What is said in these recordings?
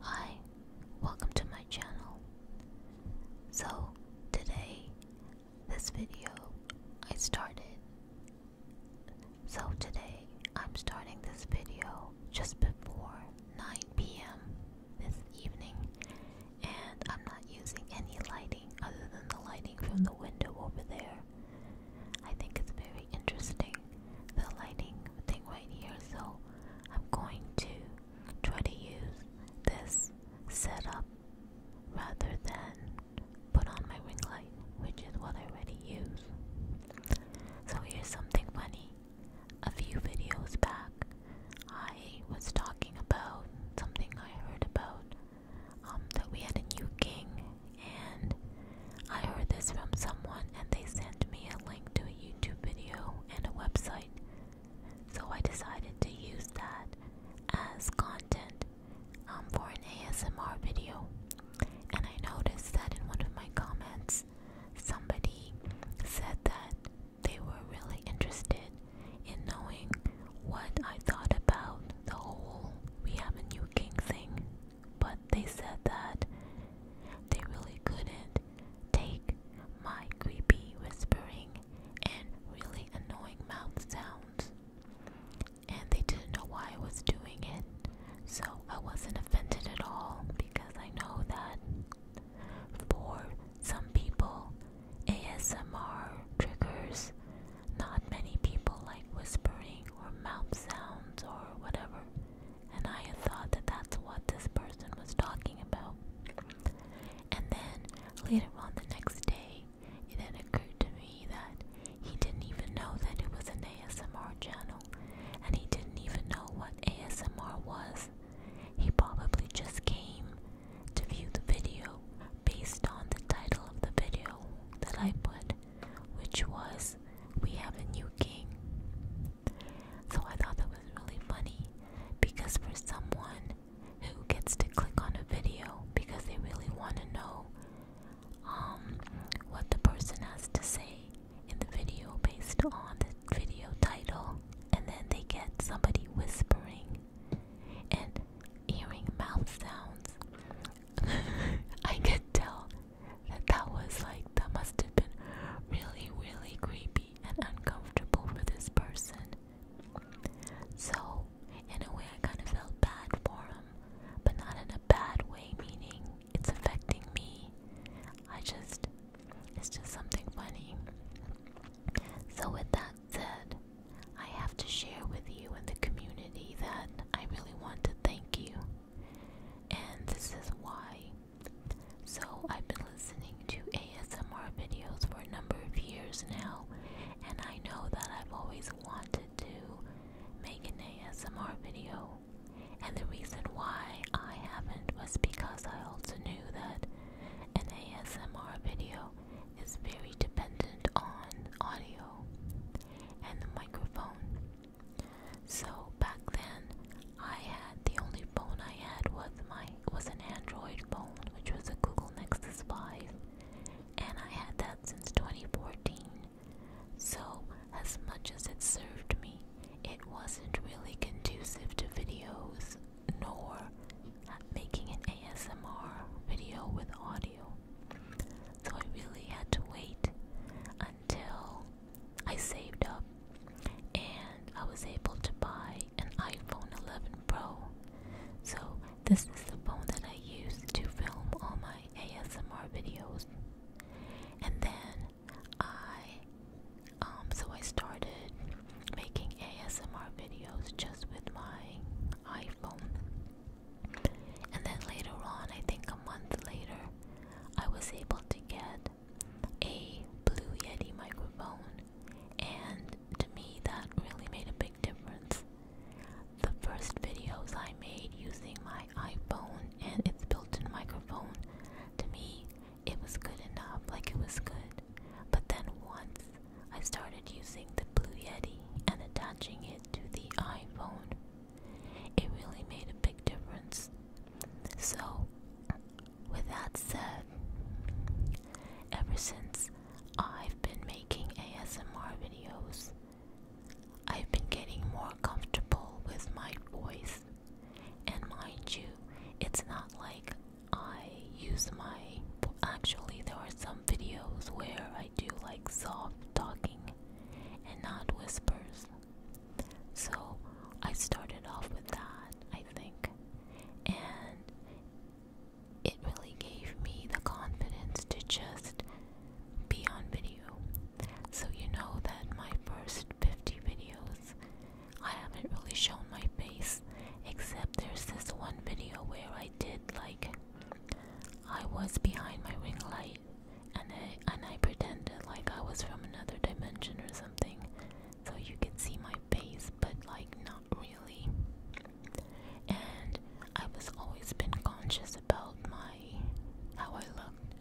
Hi, welcome to my channel. So, today, this video, I started. So, today, I'm starting this video just before 9 p.m. this evening, and I'm not using any lighting other than the lighting from the window over there. I think it's very interesting the lighting thing right here so I'm going to try to use this setup rather than put on my ring light which is what I already use so here's something funny a few videos back I was talking about something I heard about um, that we had a new king and I heard this from someone and they sent me a link to a YouTube video and a website, so I decided to use that as content um, for an ASMR video. And I noticed that in one of my comments, somebody said that they were really interested in knowing what I thought about the whole We Have a New King thing but they said that they really couldn't take my creepy whispering and really annoying mouth sounds. And they didn't know why I was doing it, so I wasn't offended at all because I know that for some people, ASMR triggers not many people like whispering or mouth sounds or whatever and I had thought that that's what this person was talking about. And then later on the next day, it then occurred to me that he didn't even know that it was an ASMR channel, and he didn't even know what ASMR was. He probably just came to view the video based on the title of the video that I put which was We Have a New King. So I thought that was really funny because for someone who gets to click on a video because they really want to know um, what the person has to say in the video based on the video title, and then they get somebody whispering and hearing mouth sounds. I could tell that that was like that must have been really really creepy and uncomfortable for this person. So in a way I kind of felt bad for him, but not in a bad way meaning it's affecting me. I just it's just something funny. So with that said, I have to share with you and the community that I really want to thank you and this is why. So, I've been listening to ASMR videos for a number of years now, and I know that I've always wanted to make an ASMR video. And the reason why I haven't was because I also knew that an ASMR video is very dependent on audio and the microphone. So back then, I had the only phone I had was my was an Android phone, which was a Google Nexus 5, and I had that since 2014. So as much as it served me, it wasn't really conducive to videos nor making an ASMR video with audio. So I really had to wait until I saved up and I was able to buy an iPhone 11 Pro. So, this is the phone that I use to film all my ASMR videos. And then I, um, so I started making ASMR videos just with my iPhone. And then later on, I think a month later, I was able to get a Blue Yeti microphone, and to me, that really made a big difference. The first videos I made using my iPhone and its built in microphone, to me, it was good enough, like it was good. But then once I started using the Blue Yeti and attaching it to the iPhone, it really made a big difference. So, with that said, ever since I've been making ASMR videos, I've been getting more comfortable with my voice. And mind you, it's not like I use my. Actually, there are some videos where I do like soft talking and not whispers. So I started off with that, I think, and it really gave me the confidence to just be on video. So, you know that my first 50 videos, I haven't really shown my face, except there's this one video where I did like I was behind my ring light and I and I pretended like I was from another dimension or something, so you could see my face, but like not really. And I was always been conscious about my how I looked,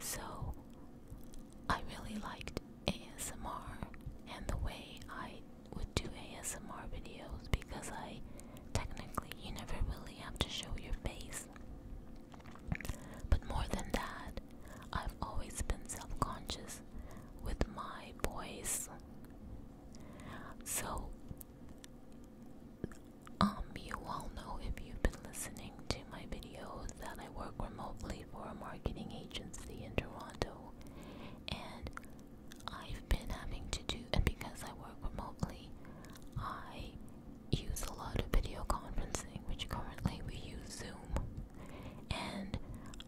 so I really liked ASMR and the way I would do ASMR videos because I technically you never really have to show your face but more than that, I've always been self conscious with my voice. So, um, you all know if you've been listening to my videos that I work remotely for a marketing agency in Toronto, and I've been having to do, and because I work remotely, I use a lot of video conferencing, which currently we use Zoom. And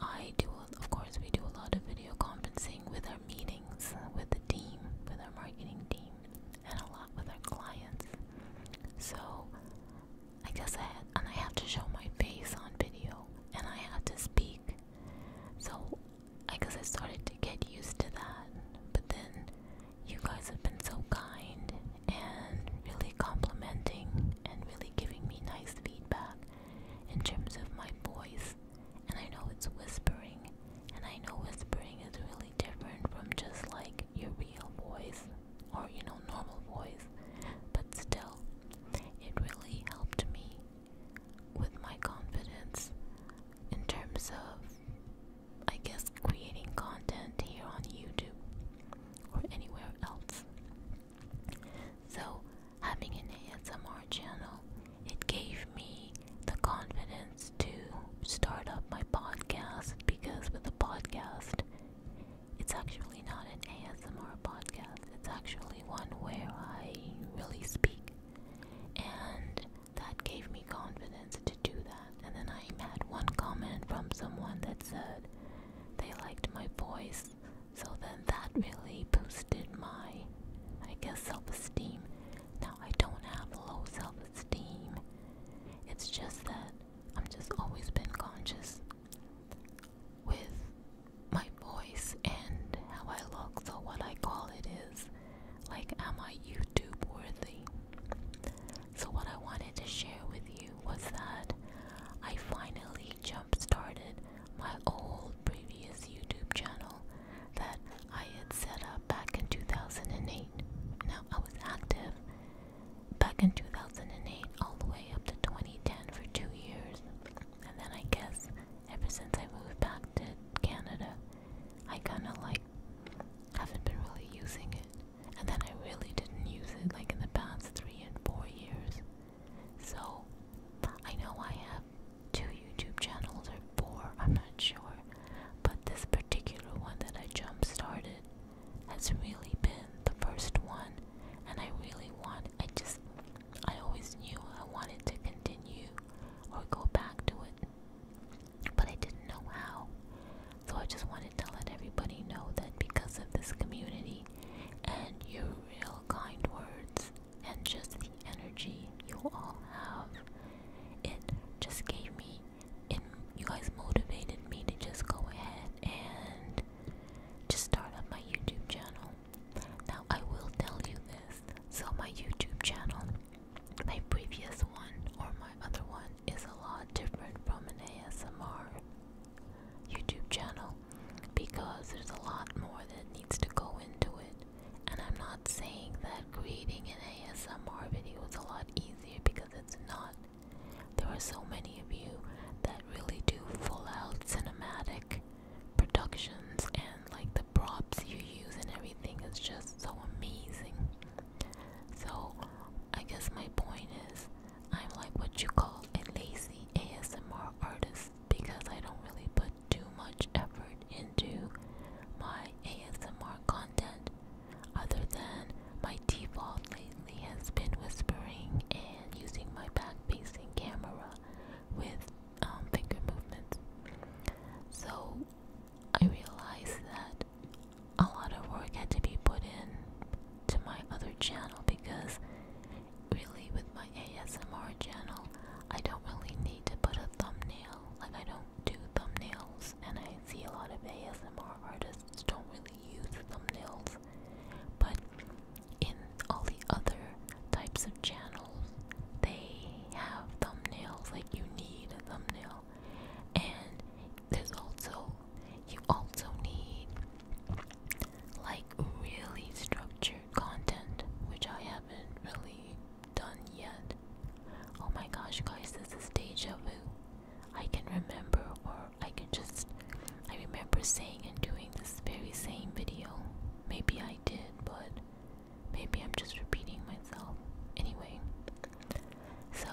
I do, of course, we do a lot of video conferencing with our meetings, with the team, with our marketing team, and a lot with our clients. So I guess I had, and I have to show my face on video, and I have to speak. So I guess I started to get used to that, but then you guys have been so kind and really complimenting and really giving me nice feedback in terms of my voice. And I know it's whispering, and I know whispering is really different from just like your real voice or you know, normal voice, but still, it really helped me with my confidence in terms of I guess creating content here on YouTube or anywhere else. So, having an ASMR channel, it gave me the confidence to start up my podcast because with a podcast, it's actually not an ASMR podcast, it's actually one where I really speak. And that gave me confidence to do that. And then I had one comment from someone that said they liked my voice. So then that really boosted my, I guess, self esteem. Now I don't have low self esteem. It's just that I've just always been conscious with my voice and how I look. So what I call it is like, am I YouTube worthy? So, what I wanted to share with you was that I finally jump started my old previous YouTube channel that I had set up back in 2008. Now, I was active back in 2008 all the way up to 2010 for two years, and then I guess ever since I moved back to Canada, I kind of like haven't been really using it. And then I really didn't use it like in the past three and four years. So I know I have two YouTube channels or four, I'm not sure. But this particular one that I jump started has really been the first one. And I really want, I just, I always knew I wanted to continue or go back to it but I didn't know how. So I just wanted to let everybody know that because of this community and your real kind words and just the energy you all have, it just gave me, it, you guys motivated me to just go ahead and just start up my YouTube channel. Now I will tell you this. So my YouTube channel my previous one or my other one is a lot different from an ASMR YouTube channel because there's a lot more that needs to go into it. And I'm not saying that creating an ASMR video is a lot easier because it's not. There are so many of you that really do full out cinematic productions and like the props you use and everything is just so amazing. So, I guess my point is, I'm like what you call a lazy ASMR artist because I don't really put too much effort into my ASMR content, other than my default lately has been whispering and using my back facing camera with um, finger movements. So, I realized that a lot of work had to be put in to my other channel because really with my ASMR channel I don't really need to put a thumbnail like I don't do thumbnails and I see a lot of ASMR artists don't really use thumbnails but in all the other types of channels they have thumbnails, like you need a thumbnail. And there's also, you also need like really structured content, which I haven't really done yet. Oh my gosh, guys, this is deja vu. I can remember, or I can just, I remember saying and doing this very same video. Maybe I did, but Maybe I'm just repeating myself. Anyway, so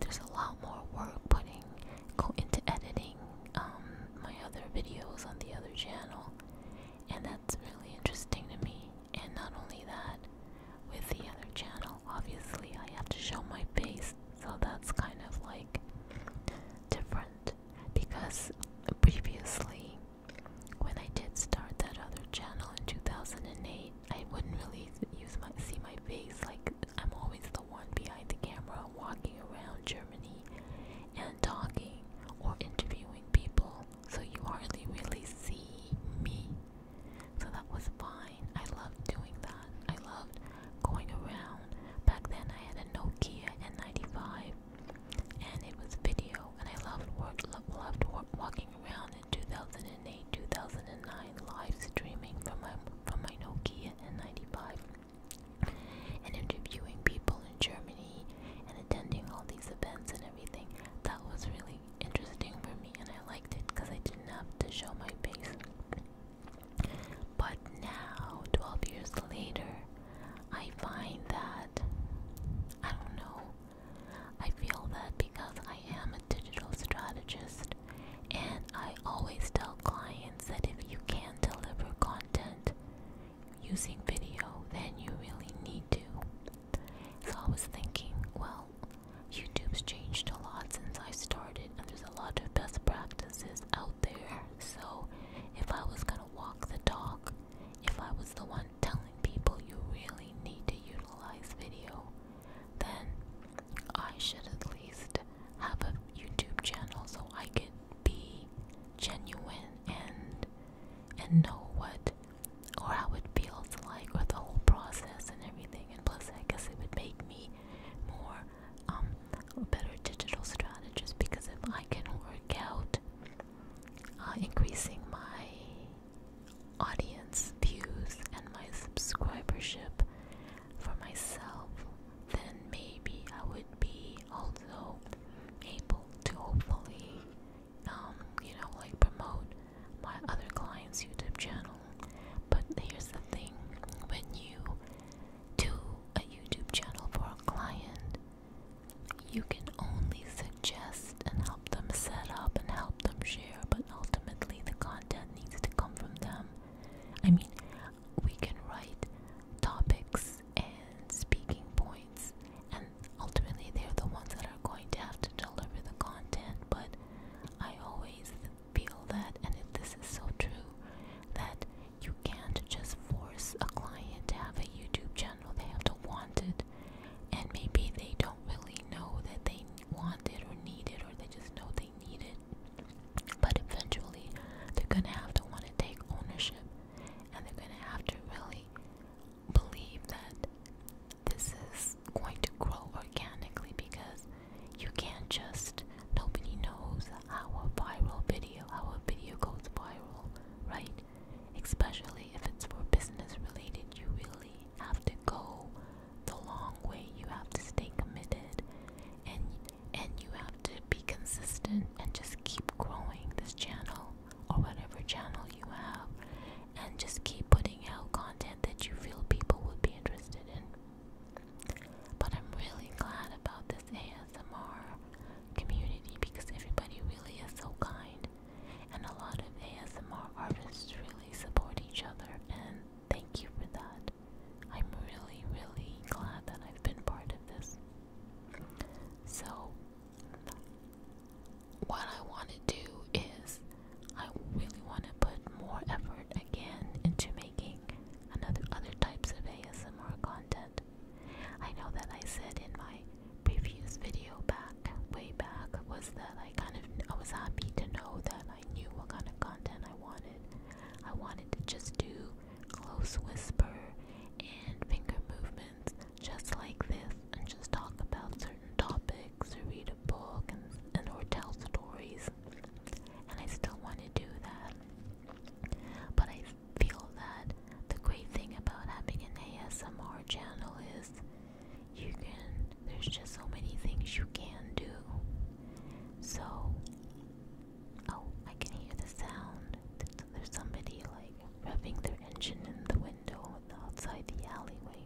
there's a lot more work putting go into editing um, my other videos on the other channel, and that's really interesting to me. And not only that, with the other channel, obviously I have to show my face, so that's kind of like different because previously when I did start that other channel in 2008, I wouldn't really use my see my face. Like I'm always the one behind the camera, walking around Germany and talking or interviewing people. So you hardly really see me. So that was fine. I loved doing that. I loved going around. Back then I had a Nokia N95 and it was video. And I loved work, lo loved work, walking around in 2008, 2009, live streaming from my from my Nokia N95, and interviewing people in Germany, and attending all these events and everything. That was really interesting for me, and I liked it because I didn't have to show my face. But now, 12 years later, I find that I don't know. I feel that because I am a digital strategist and I always tell clients that if you can not deliver content using video, then you really need to. So I was thinking, well, YouTube's changed a lot since I started, and there's a lot of best practices out there. So if I was gonna walk the talk, if I was the one telling people you really need to utilize video, then I should at least have a YouTube channel so I could be genuine and and know what or how it feels like with the whole process and everything. And plus, I guess it would make me more um better digital strategist because if I can work out uh, increasing my audience views and my subscribership for myself, then maybe I would be also able to hopefully, um, you know, like promote my other clients' YouTube channel. But here's the thing when you do a YouTube channel for a client, you can only suggest and help them set up and help them share, but ultimately the content needs to come from them. I mean, we can write topics and speaking points, and ultimately they're the ones that are going to have to deliver the content, but I always feel that, and if this is so true, that you can't just force a client to have a YouTube channel they have to want it and maybe they don't really know that they want it or need it or they just know they need it but eventually they're gonna have to want to take ownership and they're gonna have to really believe that this is going to grow organically because you can't just nobody knows how a viral video how a video goes viral right especially if it's for business related. You really have to go the long way. You have to stay committed, and and you have to be consistent and just keep growing this channel or whatever channel you have, and just keep putting out content that you feel people would be interested in. But I'm really glad about this. ASMR community because everybody really is so kind, and a lot of ASMR artists really support each other, and thank you for that. I'm really, really glad that I've been part of this. So, what I want to do is, I really want to put more effort again into making another other types of ASMR content. I know that I said in my previous video back, way back, was that I kind of, I was happy to know that I knew what kind of content I wanted. I wanted to just do close whisper and finger movements just like this and just talk about certain topics or read a book and, or tell stories. And I still want to do that. But I feel that the great thing about having an ASMR channel is you can, there's just so many things you can do. So, oh, I can hear the sound. There's somebody like rubbing their engine in the window outside the alleyway.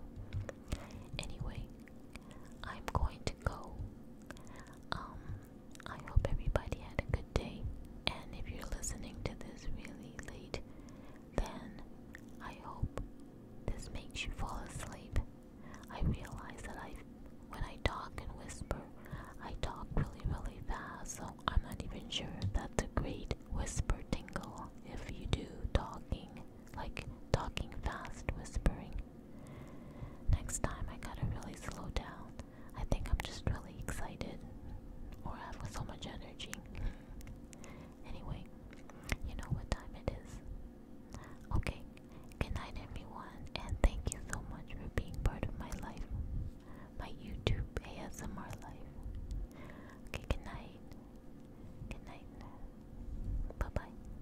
Anyway, I'm going to go. Um, I hope everybody had a good day. And if you're listening to this really late, then I hope this makes you fall asleep. I realize that I, when I talk and whisper, I talk really, really fast, so I'm not even sure if that's a great whisper tingle if you do talking, like talking fast, whispering. Next time I gotta really slow down I think I'm just really excited or I have so much energy. anyway, you know what time it is. Okay, good night everyone, and thank you so much for being part of my life, my YouTube ASMR life. Okay, good night. Good night. Bye bye.